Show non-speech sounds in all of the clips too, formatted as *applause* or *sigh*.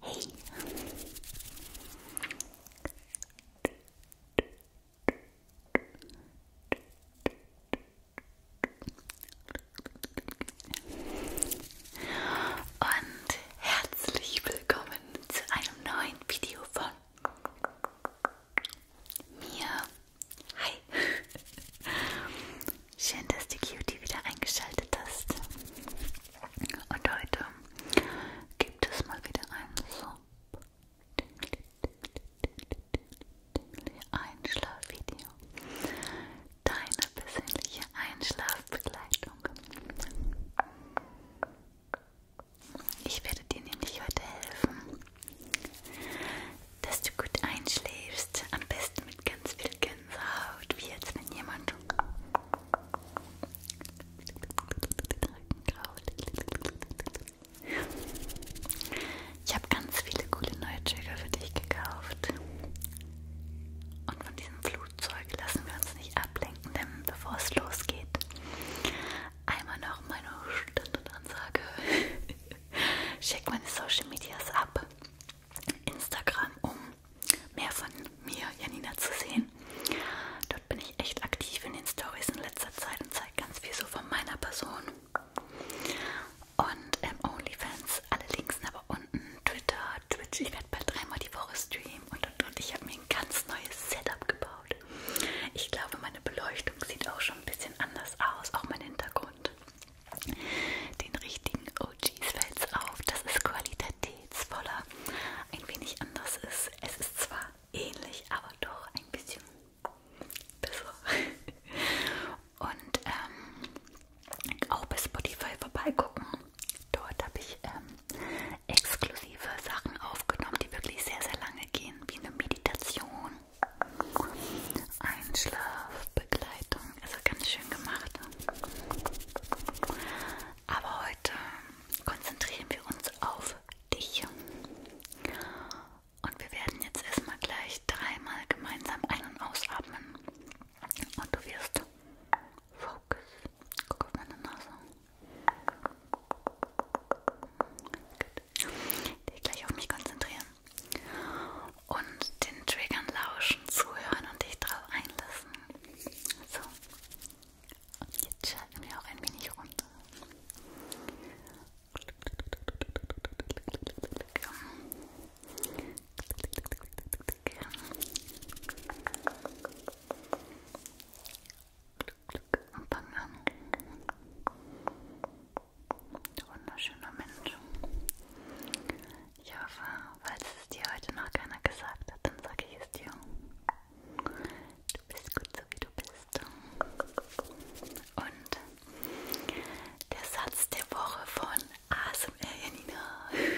Hey. Und herzlich willkommen zu einem neuen Video von mir. Hi. Schön, dass die Cutie wieder eingeschaltet hast. Und heute gibt es mal wieder einen Sub. Einschlafvideo. Deine persönliche Einschlafbegleitung. Ich werde dir nämlich heute helfen, dass du gut einschläfst. Am besten mit ganz viel Gänsehaut, wie als wenn jemand ich habe ganz viele coole neue Trigger für dich gekauft. Und von diesem Flugzeug lassen wir uns nicht ablenken, denn bevor es losgeht, einmal noch meine Standardansage. *laughs* Check meine Social Medias ab. Instagram, um mehr von mir, Janina, zu sehen. Dort bin ich echt aktiv in den Stories in letzter Zeit und zeige ganz viel so von meiner Person. Und ähm, OnlyFans, alle Links sind aber unten, Twitter, Twitch, ich werde bald dreimal die Woche streamen und und und. Ich habe mir ein ganz neues Setup gebaut. Ich glaube, meine Beleuchtung sieht auch schon ein bisschen anders aus, auch mein Hintergrund den richtigen OGs fällt es auf, dass es qualitätsvoller ein wenig anders ist. Es ist zwar ähnlich, aber doch ein bisschen besser. *laughs* Und ähm, auch bei Spotify vorbeigucken. Dort habe ich ähm, exklusive Sachen aufgenommen, die wirklich sehr, sehr lange gehen, wie eine Meditation Einschlafbegleitung. Ist auch ganz schön gemacht. Aber heute konzentrieren wir uns auf dich. Und wir werden jetzt erstmal gleich dreimal gemeinsam ein- und ausatmen. Und du wirst Focus. Guck auf meine Nase. Gut. Ich gleich auf mich konzentrieren und den Triggern lauschen, zuhören und dich drauf einlassen. So, und jetzt schalten wir auch ein wenig runter. Bang an. Wunderschöner Mensch. Ich hoffe, falls es dir heute noch keiner gesagt hat, dann sage ich es dir. Du bist gut so wie du bist. Und der Satz der Woche von ASMR Janina.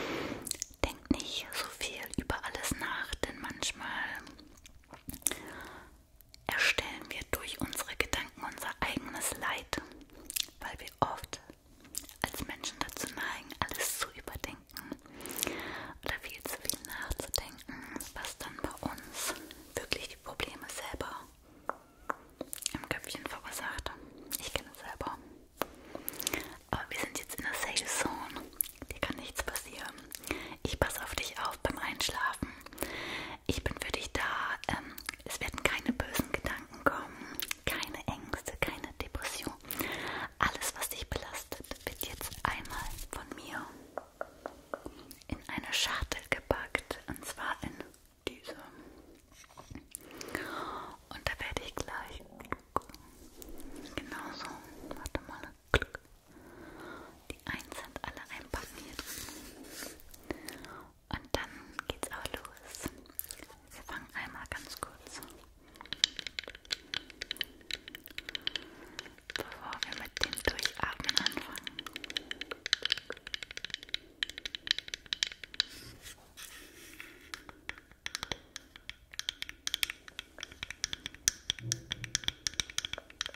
*laughs* Denk nicht so viel über alles nach, denn manchmal erstellen wir durch unsere Gedanken unser eigenes Leid, weil wir oft als Menschen dazu neigen, alles zu überdenken oder viel zu viel nachzudenken, was dann bei uns wirklich die Probleme selber im Köpfchen verursacht. Ich kenne es selber. Aber wir sind jetzt in der Safe Zone. Dir kann nichts passieren. Ich passe auf dich auf beim Einschlafen. Ich bin für dich da. Ähm, es werden keine bösen Gedanken kommen, keine Ängste, keine Depression. Alles, was dich belastet, wird jetzt einmal von mir in eine Schachtel gepackt. Und zwar in diese. Und da werde ich gleich. Genau so. Warte mal. Die 1 sind alle einpacken hier drin. Und dann geht's auch los. Wir fangen einmal ganz kurz, bevor wir mit dem Durchatmen anfangen.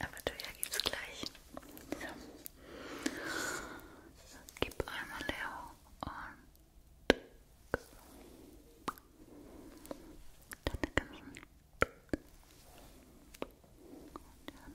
Aber du ja gibt's gleich. So. Gib einmal Leo und deine ganzen und dann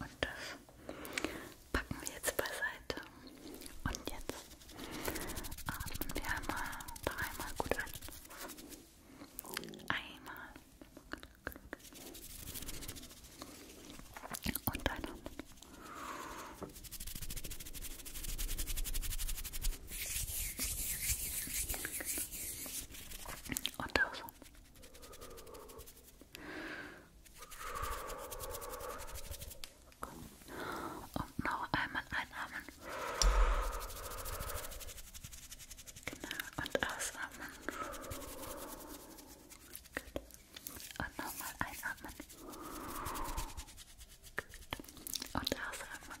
Und das packen wir jetzt beiseite. Und jetzt atmen wir einmal dreimal gut an. Einmal. Und ein und aus. Raum. Komm. Und noch einmal einatmen. Genau. Und ausatmen. Gut. Und nochmal einatmen. Gut. Und ausatmen.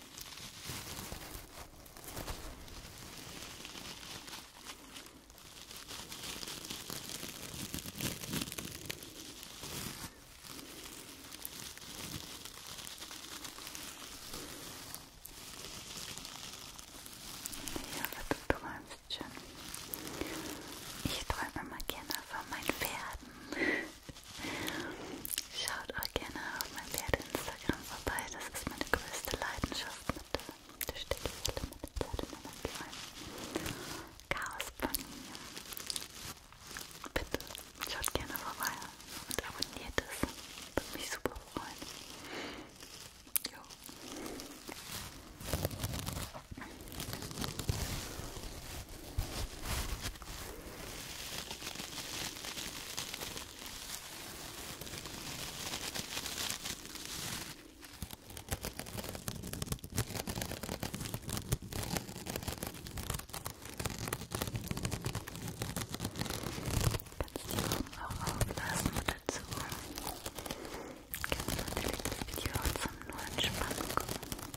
Ja, du träumst schon. Ich träume immer gerne von meinen Pferden. Schaut auch gerne auf mein Pferde-Instagram vorbei. Das ist meine größte Leidenschaft mit der Stickfälle, mit den Pferdemanagement. Chaos Bunny. Bitte schaut gerne vorbei und abonniert es. Würde mich super freuen. Jo. Kannst die Augen auch auflassen oder zu. Kannst natürlich das Video auch zum nur Entspannen gucken.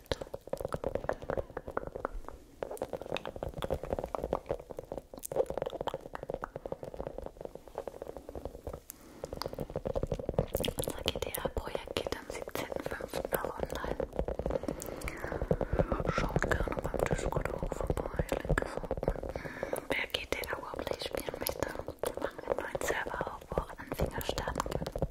Unser GTA-Projekt geht am 17.05. noch online. Schaut gerne beim Discord auch vorbei. Link ist unten. Wer GTA überhaupt nicht spielen möchte, wir machen einen neuen Server auf, wo auch Anfänger starten können.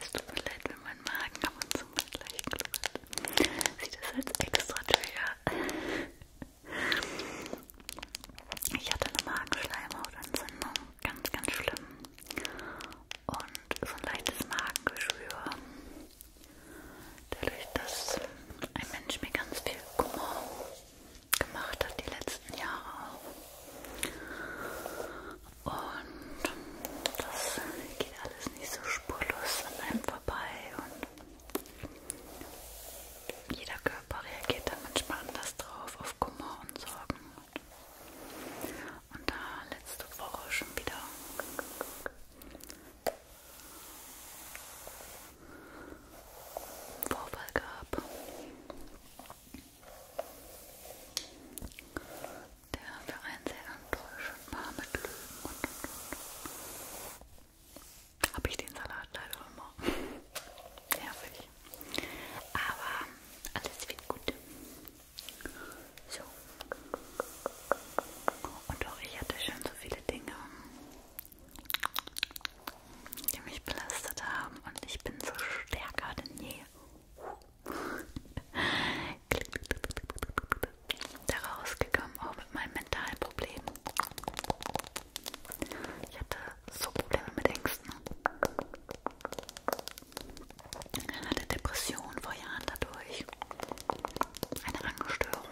Es tut mir leid, wenn mein Magen ab und zu mal gleich knurrt. Sieht das als extra Trigger. Ich hatte eine Magenschleimhautentzündung, ganz, ganz schlimm. Und so ein leichtes Magengeschwür. Dadurch, dass ein Mensch mir ganz viel Kummer gemacht hat die letzten Jahre auch. Und das geht alles nicht so spurlos an einem vorbei und jeder Körper reagiert dann manchmal anders drauf auf Kummer und Sorgen. Und da letzte Woche schon wieder Vorfall gab der für einen sehr enttäuschend war mit Löwen und, und, und. Habe ich den Salat leider immer. *laughs* Nervig. Aber alles wird gut. So. Und auch ich hatte schon so viele Dinge die mich belastet haben und ich bin so stärker denn je *laughs* da rausgekommen, auch mit meinem mentalen Problem. Ich hatte so Probleme mit Ängsten. Ich hatte Depressionen vor Jahren dadurch, eine Angststörung,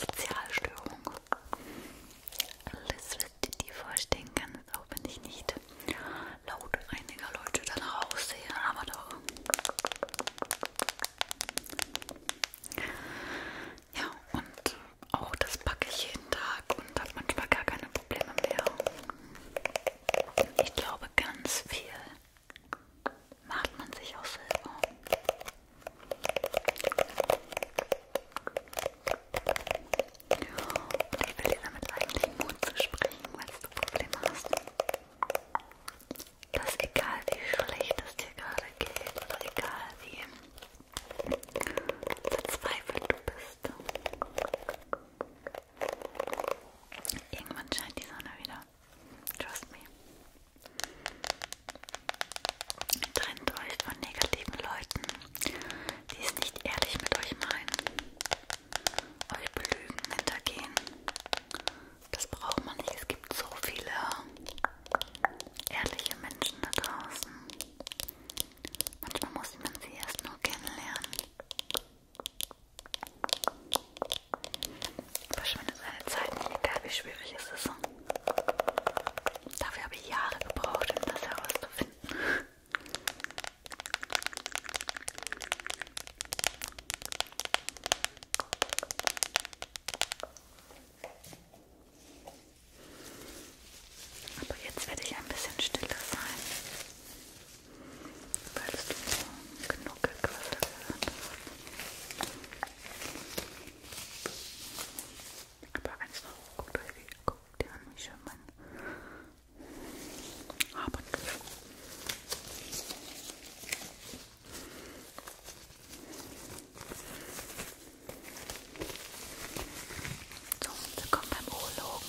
Sozialstörung. Alles, was du dir vorstellen kannst, auch wenn ich nicht laut einiger Leute danach aussehe, aber doch. Ja, und auch das packe ich jeden Tag und habe manchmal gar keine Probleme mehr. Ich glaube, ganz viel macht man sich auch selber. Und ich will dir damit eigentlich den Mund zu springen, falls du Probleme hast. Dass egal wie schlecht es dir gerade geht oder egal wie verzweifelt du bist, irgendwann scheint die Sonne wieder. Trust me. Trennt euch von negativen Leuten, die es nicht ehrlich mit euch meinen. Euch belügen, hintergehen. Das braucht man nicht. Es gibt so viele ehrliche Menschen da draußen. Manchmal muss man sie erst nur kennenlernen. Verschwindet seine Zeit, egal wie schwierig es ist. Dafür habe ich Jahre gebraucht, um das herauszufinden. Aber jetzt werde ich ein bisschen stiller sein, weil es so genug Gequassel gehört aber eins noch, guckt euch wie, guckt ihr an, wie schön mein Haarband So, wir kommen beim Urologen.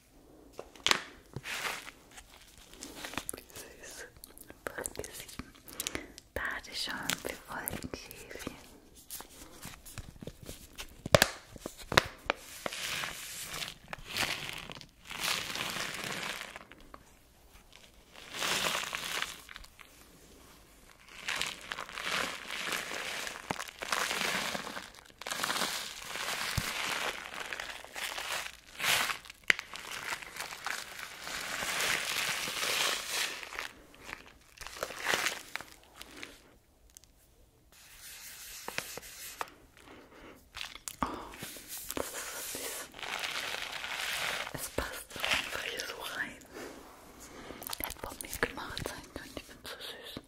Wie süß. Folge 7. Badeschaum für Wolkenschäfchen. Oh, das ist so süß. Es passt einfach hier so rein. Das hätte Pommes gemacht sein können, ich bin so süß.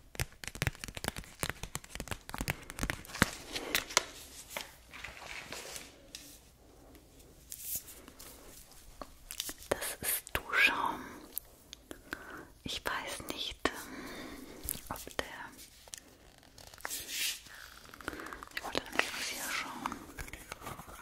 Das ist Duschschaum. Ich weiß nicht, ähm, ob der. Ich wollte nämlich was hier schauen. Oh,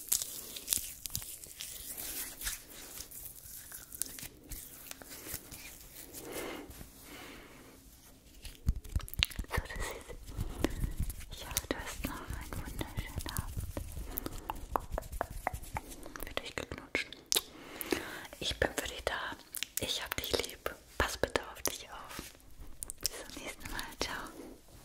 So, das ist. Ich hoffe, du hast noch einen wunderschönen Abend. Für dich geknutscht. Ich bin für dich da. Ich hab dich lieb. Pass bitte auf dich auf. Bis zum nächsten Mal. Ciao.